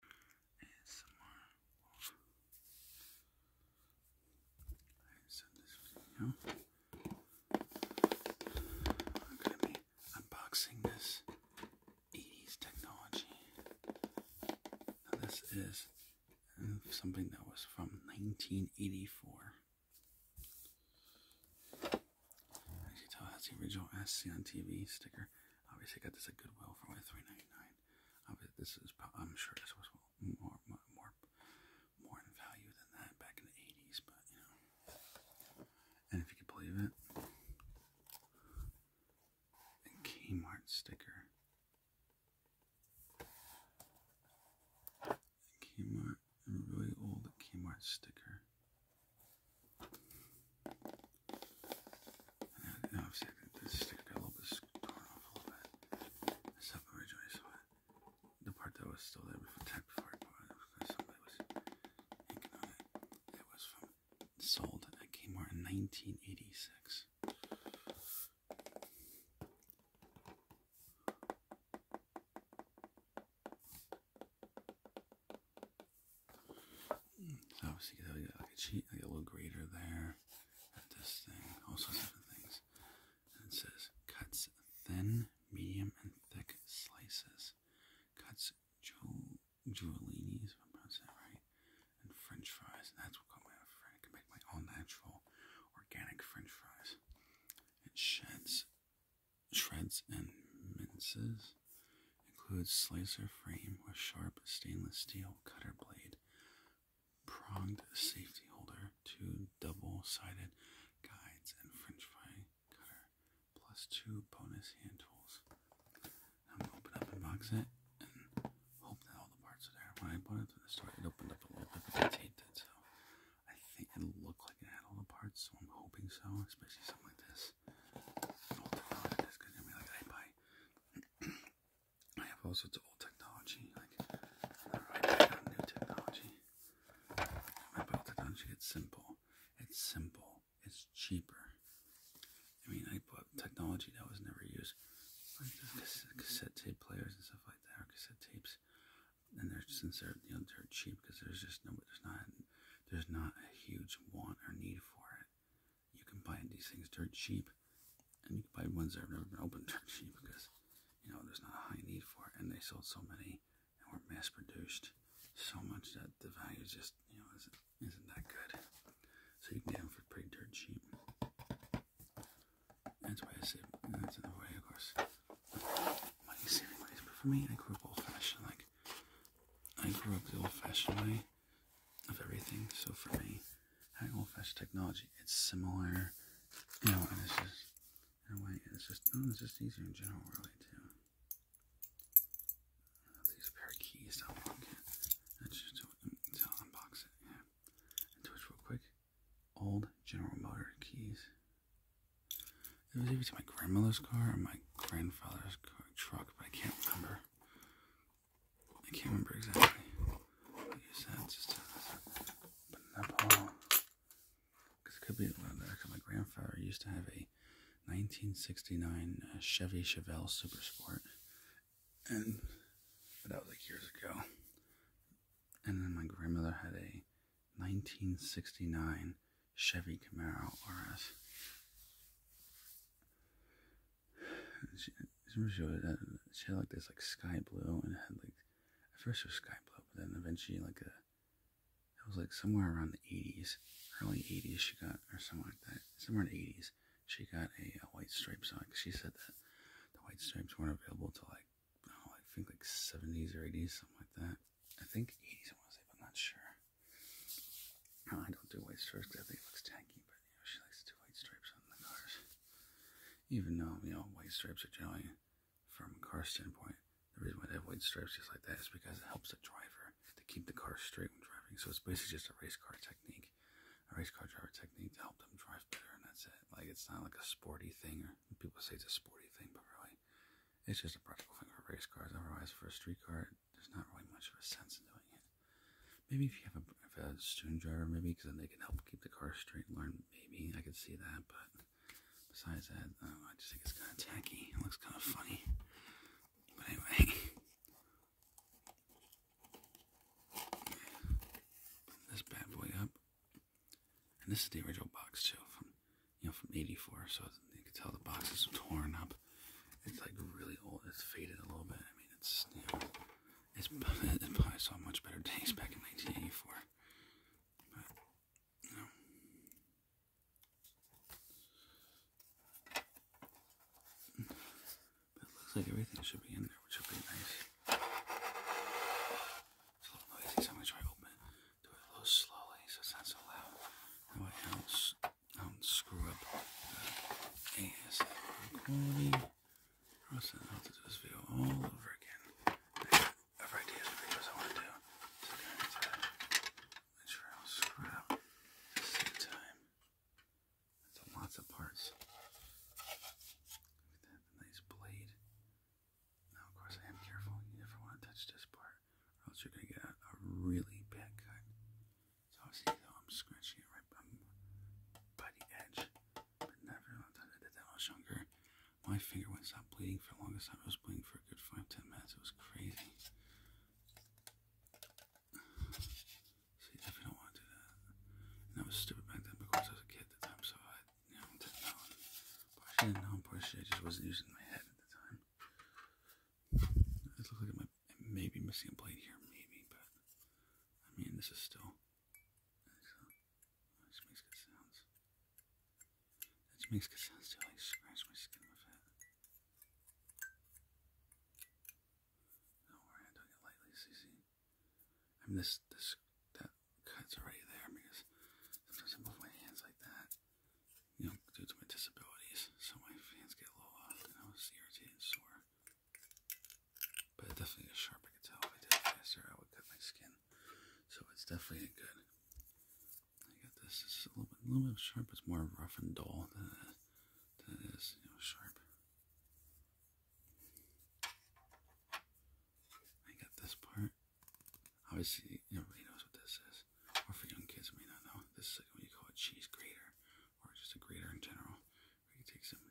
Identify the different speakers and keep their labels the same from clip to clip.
Speaker 1: this I'm unboxing this 80s technology. this is something that was from 1984. As you tell, that's the original SC on TV sticker. Obviously, I got this at Goodwill for only three ninety nine. This is, I'm sure, this was more, more, more, more in value than that back in the eighties. But you know, and if you can believe it, a Kmart sticker. Kmart, a really old Kmart sticker. And this sticker a little bit torn off a little bit. This up originally, so I, the part that was still there before, tagged before somebody was inking on it. was from sold at Kmart in 1986. So obviously, you get like a little grater there this thing, all sorts of things. it says cuts thin, medium, and thick slices. Cuts Giolini's, if am pronouncing that right, and French fries. And that's what caught my friend. I can make my all natural, organic French fries. It sheds, shreds, and minces includes slicer frame with sharp stainless steel cutter blade, pronged safety holder, two double-sided guides, and french fry cutter, plus two bonus hand tools. I'm going to open up and box it and hope that all the parts are there. When I bought it to the store, it opened up a little bit, but I taped it, so I think it looked like it had all the parts, so I'm hoping so, especially something like this this. Old phone is gonna be like I buy. I have all sorts of old technology, like I got new technology. I buy old technology. It's simple. It's simple. It's cheaper. I mean, I bought technology that was never used, like cassette, cassette tape players and stuff like that, or cassette tapes. And they're since they're you know they're cheap because there's just no there's not there's not a huge want or need for it you can buy these things dirt cheap, and you can buy ones that have never been opened dirt cheap because you know there's not a high need for it, and they sold so many and were mass produced so much that the value is just you know isn't isn't that good. So you can get them for pretty dirt cheap. That's why I say that's another way, of course. Money saving ways, but for me, I grew up old fashioned. Like I grew up the old fashioned way of everything. So for me, having old-fashioned technology, it's similar, you know, and it's just it's just oh, it's just easier in general, really, too. These pair of keys to unlock unbox it, yeah. real quick. Old General Motor keys. It was either to my grandmother's car or my grandfather's truck, but I can't remember. I can't remember exactly what you said, just but uh, Nepal, because it could be my grandfather used to have a 1969 uh, Chevy Chevelle Super Sport, and that was like years ago. And then my grandmother had a 1969 Chevy Camaro RS. She, she, she had like this like sky blue and had like at first was sky blue, but then eventually like a it was like somewhere around the 80s, early 80s she got or something like that, somewhere in the 80s she got a, white stripe sock. She said that the white stripes weren't available till like I, oh, I think like 70s or 80s, something like that. I think 80s I want to say, but I'm not sure. I don't do white stripes because I think it looks tacky, but she likes to white stripes on the cars. Even though, you know, white stripes are generally, from a car standpoint, the reason why they have white stripes just like that is because it helps the driver to keep the car straight when driving. So it's basically just a race car technique, a race car driver technique to help them drive better, and that's it. Like, it's not like a sporty thing, or people say it's a sporty thing, but really, it's just a practical thing for race cars. Otherwise, for a street car, there's not really much of a sense in doing it. Maybe if you have a, if student driver, maybe because then they can help keep the car straight and learn. Maybe I could see that, but besides that, um, I just think it's kind of tacky. It looks kind of funny. But anyway, this bad boy up, and this is the original box too, you know from '84. So you can tell the box is torn up. It's like really old. It's faded a little bit. I mean, it's you it's, probably saw much better taste back in 1984. But looks like everything should be in there, which would be nice. It's a little noisy, so I'm gonna try open Do it slowly so it's not so loud. That way don't um, screw up the ASL quality process. I'll have to do this video all over again. I have for videos I want to do. I need sure I don't screw up same time. lots of parts. Look at that nice blade. Now, of course, I am careful. You never want to touch this part, or else you're going to get a really bad cut. So I'm scratching it right by the edge. But never I did that much younger. My finger wouldn't stop bleeding for the longest time. It was bleeding for a good five, ten minutes. It was crazy. See, if don't want to do that. I was stupid back then because I was a kid at the time, so I you know, didn't know. Partially didn't partially I just wasn't using my head at the time. It looked like my I, may be missing a blade here, maybe, but I mean, this is still. This makes good sounds. This makes good sounds too. I like, scratch my skin with it. Don't worry, I don't lightly, CC. I mean, this, this, that cut's already there because sometimes I move my hands like that. You know, due to my disabilities, so my hands get a blow I was irritated sore. But definitely is sharp. I could tell if I did it faster, I would cut my skin. So it's definitely good. I got this. It's a little bit, a little bit sharp. It's more rough and dull than than it is, sharp. I got this part. Obviously, nobody knows what this is. Or for young kids, may not know. This is what you call a cheese grater or just a grater in general. Where can take some,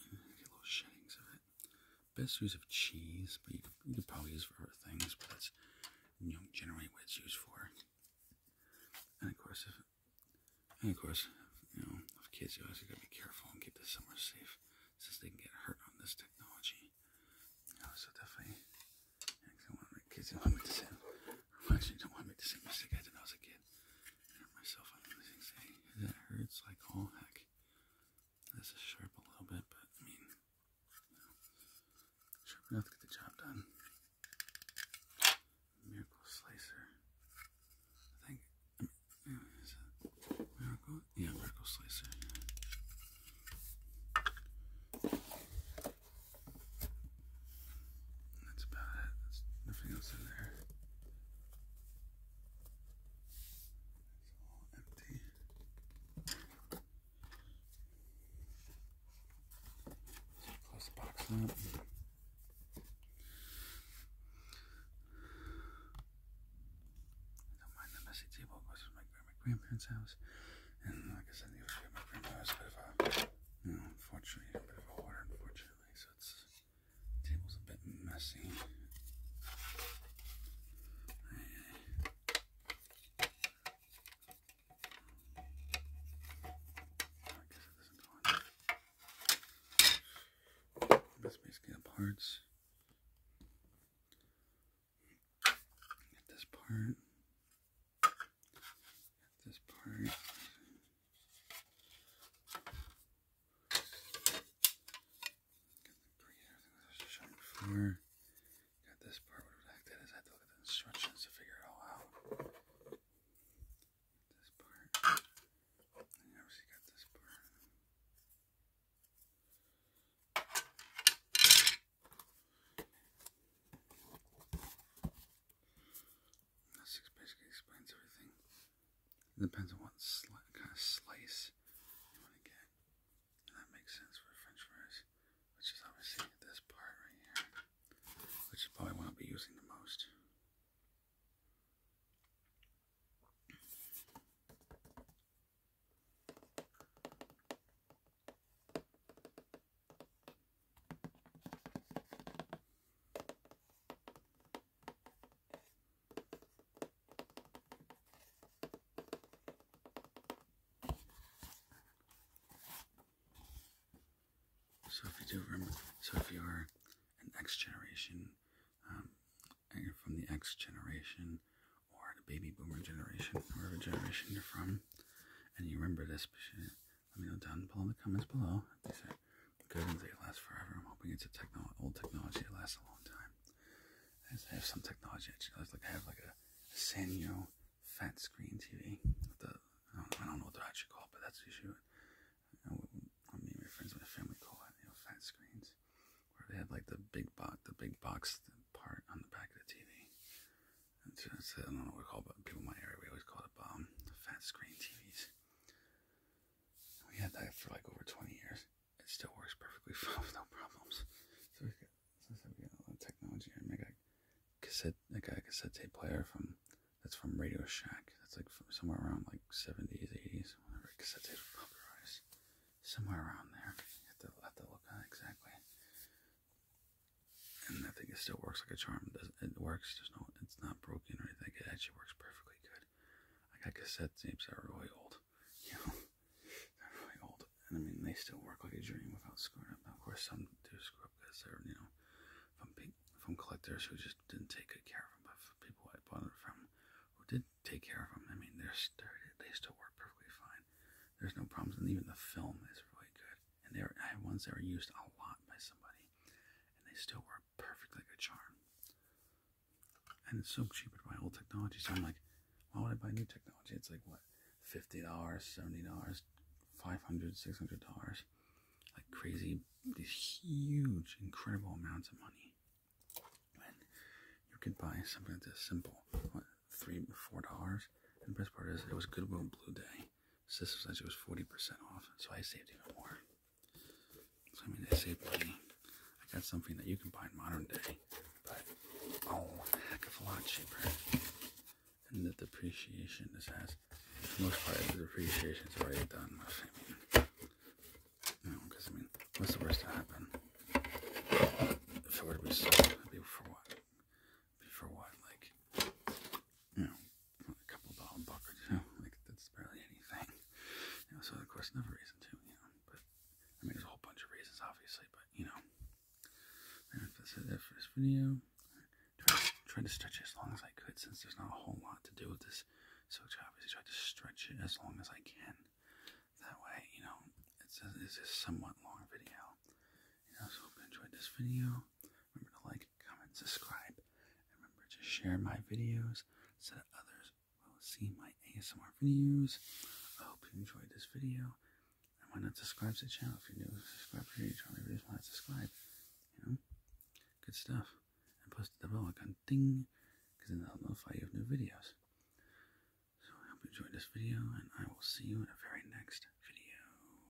Speaker 1: mm, little shavings of it. Best use of cheese, but you could, probably use for other things, but that's generally what it's used for. And of course, and of course, you know, with kids, you always gotta be careful and keep this somewhere safe, since they can get hurt on this technology. so definitely, kids to want me to I don't want to make the same mistake I was a kid. hurt myself that
Speaker 2: hurts
Speaker 1: like oh heck. This is sharp a little bit, but I mean, sharp enough to get the job done. Miracle Slicer. I think, Miracle? Yeah, Miracle Slicer. That's about it. There's nothing else in there. It's all empty. Close the box up. I don't mind the messy table. It was my, my grandparents' house. And like I said, it was at my grandma's, but if I unfortunately, a bit of water, unfortunately, so it's the table's a bit messy. That's basically the parts. Get this part this part. Got Got this part, whatever the heck that is. I had to look at the instructions to figure it all out. This part. obviously got this part. That's basically explains everything. It depends on what kind of slice you want to get. And that makes sense for french fries, which is obviously this part right here, which is probably what i be using the most. So if you do remember, so if you're an X generation, um, from the X generation or the baby boomer generation, wherever generation you're from, and you remember this let me know down below in the comments below that last forever. I'm hoping it's a old technology that lasts a long time. I just have some technology actually. I have like a, a Sanyo fat screen TV. the I don't, know what they're actually called, but that's the issue. I, I mean, my friends, my family call it fat screens, where they have like the big box, the big box part on the back of the TV. It's, I don't know what we call it, but people in my area, we always call it um, fat screen TVs. We had that for like over 20 years. It still works perfectly fine with no problems. So we got, so we got a lot of technology I got cassette, I a cassette tape player from, that's from Radio Shack. That's like from somewhere around like 70s, 80s, whenever cassette tapes popularized. Somewhere around there. You have to, have to look at exactly and I think it still works like a charm. It works, just no, it's not broken or anything. It actually works perfectly good. I got cassette tapes that are really old, you know, they're really old, and I mean they still work like a dream without screwing up. Now, of course, some do screw up because they're you know from from collectors who just didn't take good care of them, but for people I bought it from who did take care of them, I mean they're they still work perfectly fine. There's no problems, and even the film is really good and there I have ones that were used a lot by somebody, and they still work perfect like a charm. And it's so cheap to buy old technology. So I'm like, why would I buy new technology? It's like what, fifty dollars, seventy dollars, five hundred, six hundred dollars, like crazy, these huge, incredible amounts of money. you could buy something that's simple, what, three, four dollars. the best part is, it was Goodwill Blue Day. Sister said it was 40% off, so I saved even more. So, I mean, I saved money. I got something that you can buy in modern day, but oh, heck of a lot cheaper. And the depreciation this has, for most part, the depreciation is already done. I mean, you know, because I mean, what's the worst that happened? If it were to be sold, be for what? be for what? Like, you know, a couple dollar buckets, you know, like that's barely anything. You know, so of course, another reason to, you know. But
Speaker 2: I mean, there's a whole
Speaker 1: bunch of reasons, obviously. But you know, and that's it for this video. Trying to stretch it as long as I could, since there's not a whole lot to do with this. So I obviously try to stretch it as long as I can. That way, you know, it's a, it's a somewhat long video. You know, so hope you enjoyed this video. Remember to like, comment, subscribe, and remember to share my videos so that others will see my ASMR videos. I hope you enjoyed this video. And why not subscribe to the channel if you're new? Subscribe for your channel. Everybody's not subscribe. You know, good stuff. And post the bell icon ding, because then I'll notify you of new videos. So I hope you enjoyed this video, and I will see you in the very next video.